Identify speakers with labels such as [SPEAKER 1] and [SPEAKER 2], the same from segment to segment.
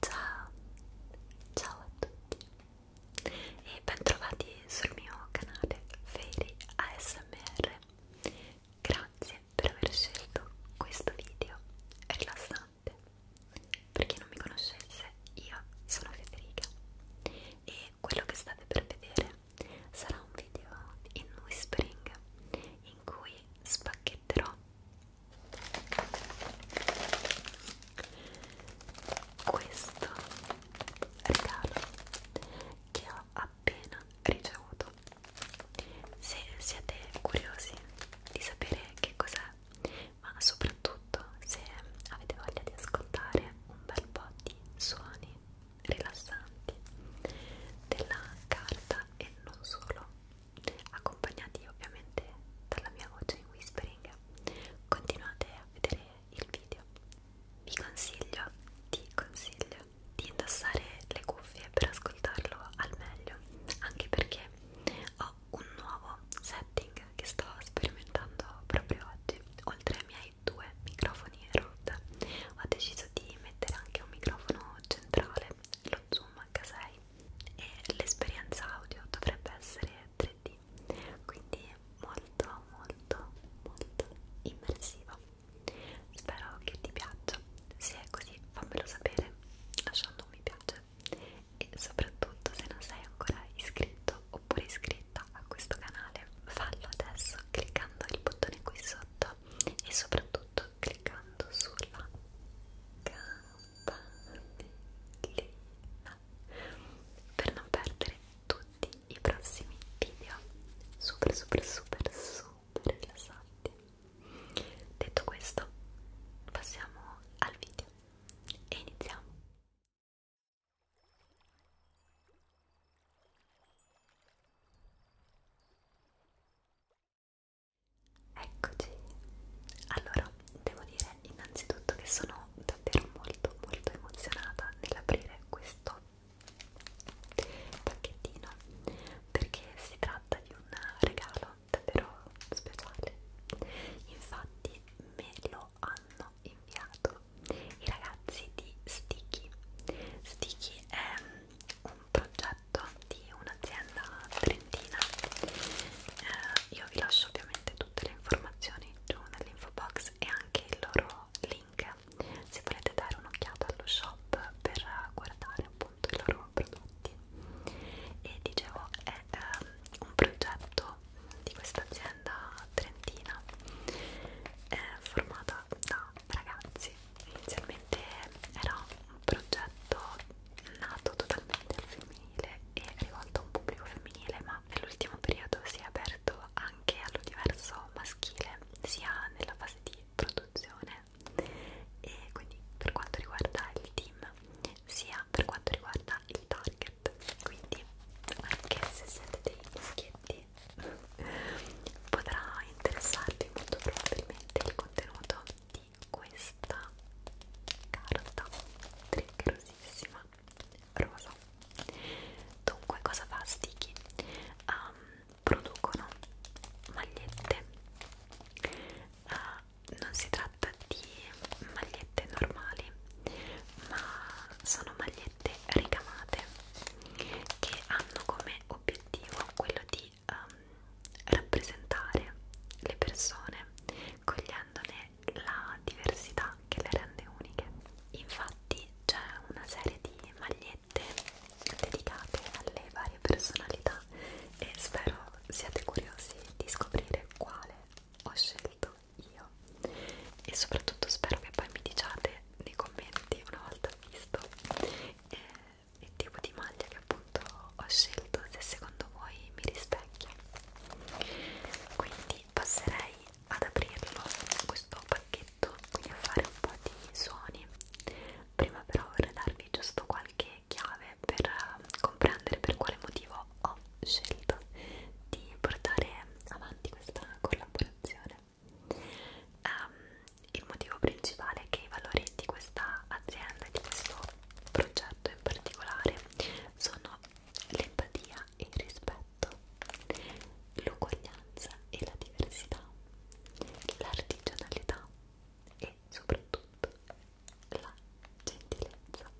[SPEAKER 1] Ciao, ciao a tutti e bentrovati sul mio canale Fairy ASMR. Grazie per aver scelto questo video rilassante. Per chi non mi conoscesse, io sono Federica e quello che state per vedere sarà un video in whispering in cui spacchetterò questo regalo che ho appena ricevuto se siete curiosi di sapere che cos'è ma soprattutto se avete voglia di ascoltare un bel po' di suoni rilassanti della carta e non solo accompagnati ovviamente dalla mia voce in whispering continuate a vedere il video vi consiglio ti consiglio di indossare le cuffie per ascoltarlo al meglio anche perché ho un nuovo setting che sto sperimentando proprio oggi oltre ai miei due microfoni Rode ho deciso di mettere anche un microfono centrale lo zoom H6 e l'esperienza audio dovrebbe essere 3D quindi molto molto molto immersiva spero che ti piaccia se è così fammelo sapere lasciando un mi piace e soprattutto se non sei ancora iscritto oppure iscritta a questo canale fallo adesso cliccando il bottone qui sotto e soprattutto cliccando sulla campanellina per non perdere tutti i prossimi video super super super super rilassanti detto questo passiamo al video e iniziamo Eccoci, allora devo dire innanzitutto che sono davvero molto molto emozionata nell'aprire questo pacchettino perché si tratta di un regalo davvero speciale, infatti me lo hanno inviato i ragazzi di Sticky. Sticky è un progetto di un'azienda trentina eh, io vi lascio ovviamente tutte le informazioni giù nell'info box e anche il loro link se volete dare un'occhiata allo shop per guardare appunto i loro prodotti e dicevo è eh, un progetto di questa azienda trentina eh, formata da ragazzi inizialmente era un progetto nato totalmente al femminile e rivolto a un pubblico femminile, ma nell'ultimo periodo si è aperto anche all'universo maschile, sia nella fase di produzione e quindi per quanto riguarda il team, sia per quanto riguarda il target. Quindi, anche se siete dei maschietti quindi potrà interessarvi molto probabilmente il contenuto di questa carta triggerosissima rosa dunque cosa fa Sticky? Um, producono magliette uh, non si tratta di magliette normali ma sono magliette ricamate che hanno come obiettivo quello di um, rappresentare le persone cogliendone la diversità che le rende uniche. Infatti c'è una serie di magliette dedicate alle varie personalità e spero siate curiosi di scoprire quale ho scelto io e soprattutto spero che poi mi diciate nei commenti una volta visto eh, il tipo di maglia che appunto ho scelto se secondo voi mi rispecchia quindi passerei ad aprirlo questo pacchetto quindi a fare un po' di suoni prima però vorrei darvi giusto qualche chiave per ehm, comprendere per quale motivo ho scelto di portare avanti questa collaborazione Um, il motivo principale è che i valori di questa azienda, di questo progetto in particolare, sono l'empatia e il rispetto, l'uguaglianza e la diversità, l'artigianalità e soprattutto la gentilezza.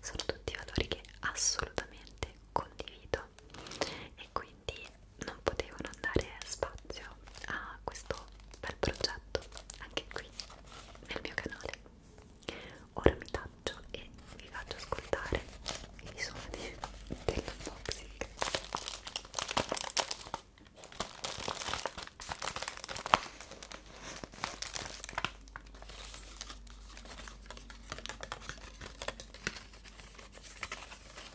[SPEAKER 1] Sono tutti valori che assolutamente condivido città e quindi non potevano dare spazio a questo bel progetto anche qui nel mio canale. Ora mi taccio e vi faccio ascoltare i suoni dell'unboxing.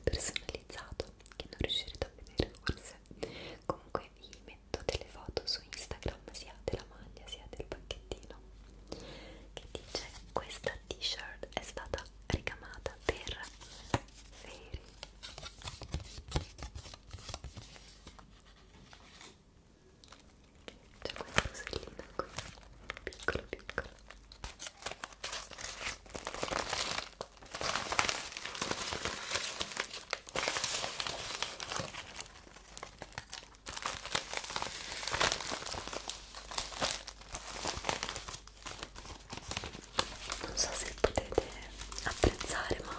[SPEAKER 1] bigliettino personalizzato che non riuscirete a vedere forse. Comunque vi metto delle foto su Instagram sia della maglia sia del pacchettino giallo che dice questa t-shirt è stata ricamata per Fairy c'è questa rosellina qui piccolo piccolo non so se potete apprezzare ma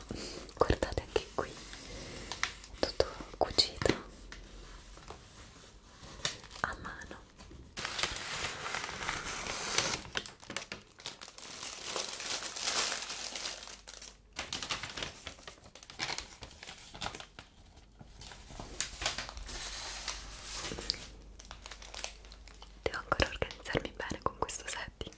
[SPEAKER 1] guardate anche qui è tutto cucito a mano Devo ancora organizzarmi bene con questo setting.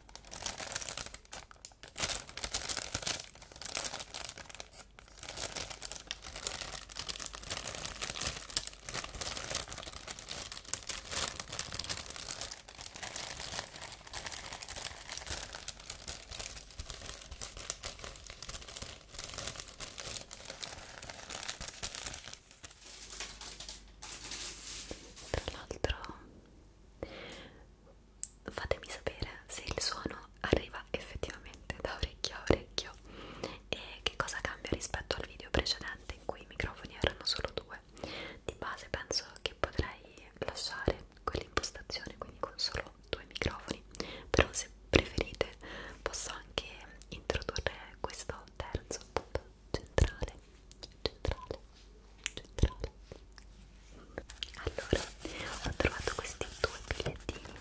[SPEAKER 1] Tra l'altro fatemi sapere se il suono arriva effettivamente da orecchio a orecchio e che cosa cambia rispetto al video precedente in cui i microfoni erano solo due di base penso che potrei lasciare quell'impostazione quindi con solo due microfoni però se preferite posso anche introdurre questo terzo appunto centrale, centrale, centrale. Allora, ho trovato questi due bigliettini.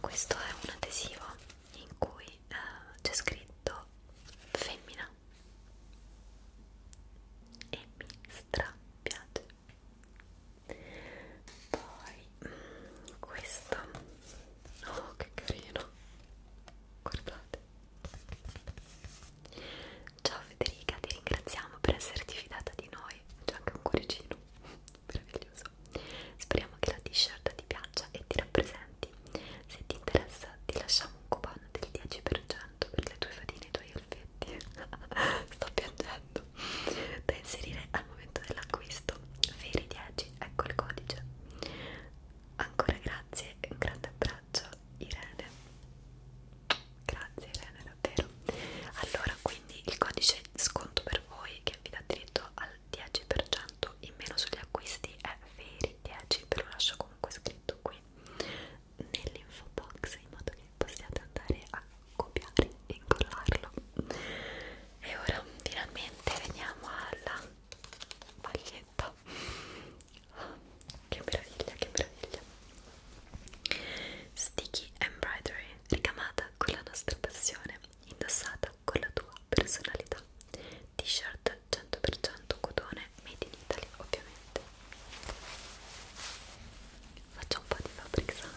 [SPEAKER 1] Questo è un adesivo in cui eh, c'è scritto femmina e mi stra piace poi questa oh che carino guardate ciao Federica ti ringraziamo per esserti fidata di noi c'è anche un cuoricino meraviglioso speriamo che la t-shirt ti piaccia e ti rappresenti se ti interessa ti lasciamo un coupon del 10% per le tue fatine e i tuoi elfetti sto piangendo da inserire al momento dell'acquisto veri 10 oggi, ecco il codice. Ancora grazie e un grande abbraccio Irene. Grazie Irene, davvero. Allora, quindi il codice sconto per voi che vi dà diritto al 10% in meno sugli acquisti è Veri10, ve lo lascio comunque scritto qui nell'info box in modo che possiate andare a copiare e incollarlo e ora finalmente veniamo alla maglietta oh, che meraviglia che meraviglia sticky embroidery ricamata con la nostra passione indossata con la tua personalità t-shirt 100% cotone made in Italy ovviamente faccio un po' di fabric sound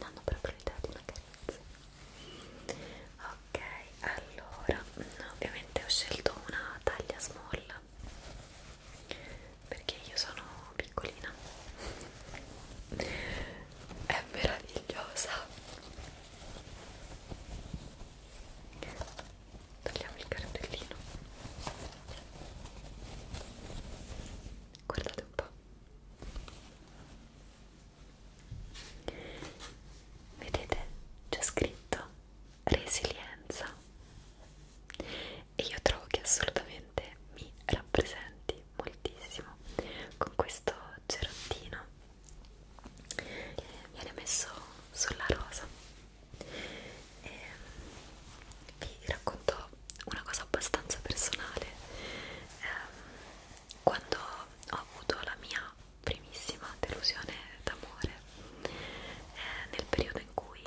[SPEAKER 1] danno proprio l'idea di una carezza ok allora ovviamente ho scelto una taglia small perché io sono piccolina è meravigliosa Tagliamo il cartellino. Guardate un po'. Vedete? C'è scritto resilienza. E io trovo che assolutamente mi rappresenti moltissimo con questo cerottino. Eh, viene messo sulla rosa e ehm, vi racconto una cosa abbastanza personale eh, quando ho avuto la mia primissima delusione d'amore eh, nel periodo in cui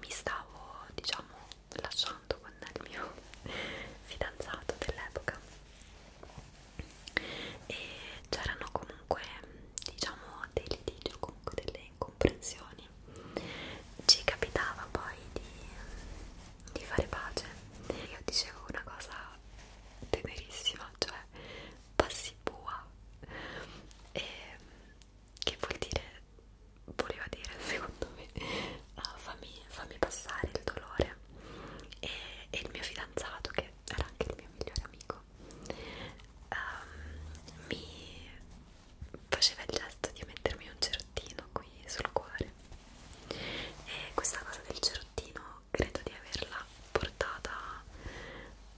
[SPEAKER 1] mi stavo diciamo lasciando con il mio fidanzato dell'epoca e c'erano comunque diciamo dei litigi o comunque delle incomprensioni ci capitava poi di, di fare pace io dicevo una cosa tenerissima cioè passibua e che vuol dire voleva dire secondo me uh, fammi, fammi passare il dolore e, e il mio fidanzato che era anche il mio migliore amico ecco um, mi faceva il gesto di mettermi un cerottino qui sul cuore e questa cosa del cerottino credo di averla portata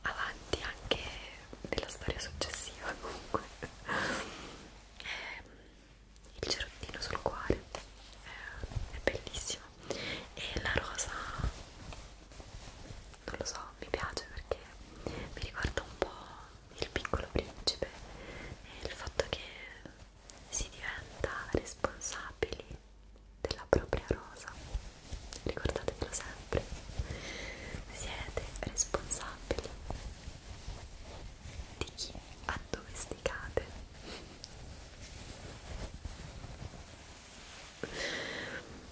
[SPEAKER 1] avanti anche nella storia successiva comunque ehm, il cerottino sul cuore ehm, è bellissimo e la rosa non lo so, mi piace perché mi ricorda un po' il piccolo principe e il fatto che si diventa responsabili della propria rosa ricordatevelo sempre siete responsabili di chi addomesticate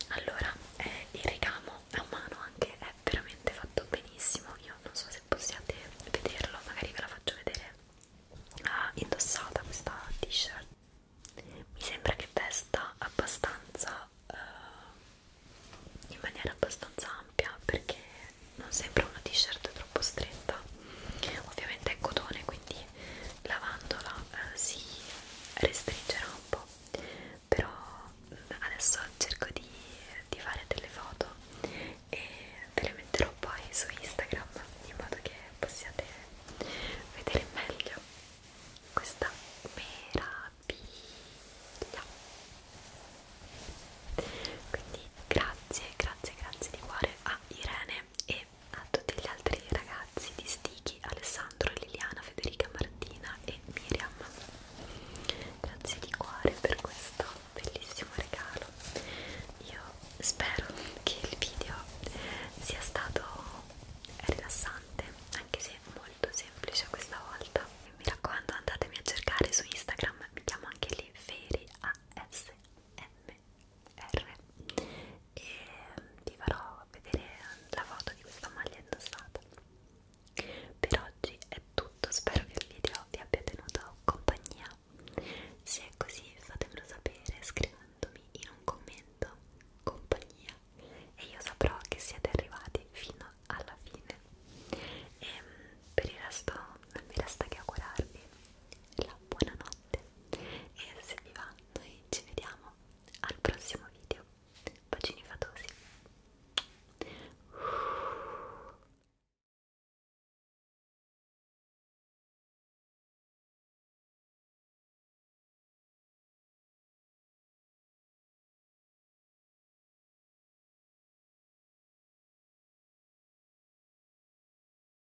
[SPEAKER 1] allora eh, il ricamo a mano anche è veramente fatto benissimo io non so se possiate vederlo magari ve la faccio vedere ah, indossata questa t-shirt mi sembra che vesta abbastanza eh, in maniera abbastanza ampia perché non sembra una t-shirt troppo stretta ovviamente è cotone quindi lavandola eh, si restringerà un po' però mm, adesso cerco di, di fare delle foto e ve le metterò poi su Instagram in modo che possiate vedere meglio questa meraviglia quindi grazie grazie grazie di cuore a Irene e e a tutti gli altri ragazzi di Sticky, Alessandro, Liliana, Federica, Martina e Miriam. Grazie di cuore per questo bellissimo regalo. Io spero che il video sia stato rilassante, anche se molto semplice questa volta. Mi raccomando, andatemi a cercare su Instagram, mi chiamo anche lì Feri ASM R e vi farò vedere la foto di questa maglia indossata per oggi è tutto spero che il video vi abbia tenuto compagnia se è così fatemelo sapere scrivendomi in un commento compagnia e io saprò che siete arrivati fino alla fine e ehm, per il resto non mi resta che augurarvi la buonanotte e se vi va noi ci vediamo al prossimo video. Bacini fatosi.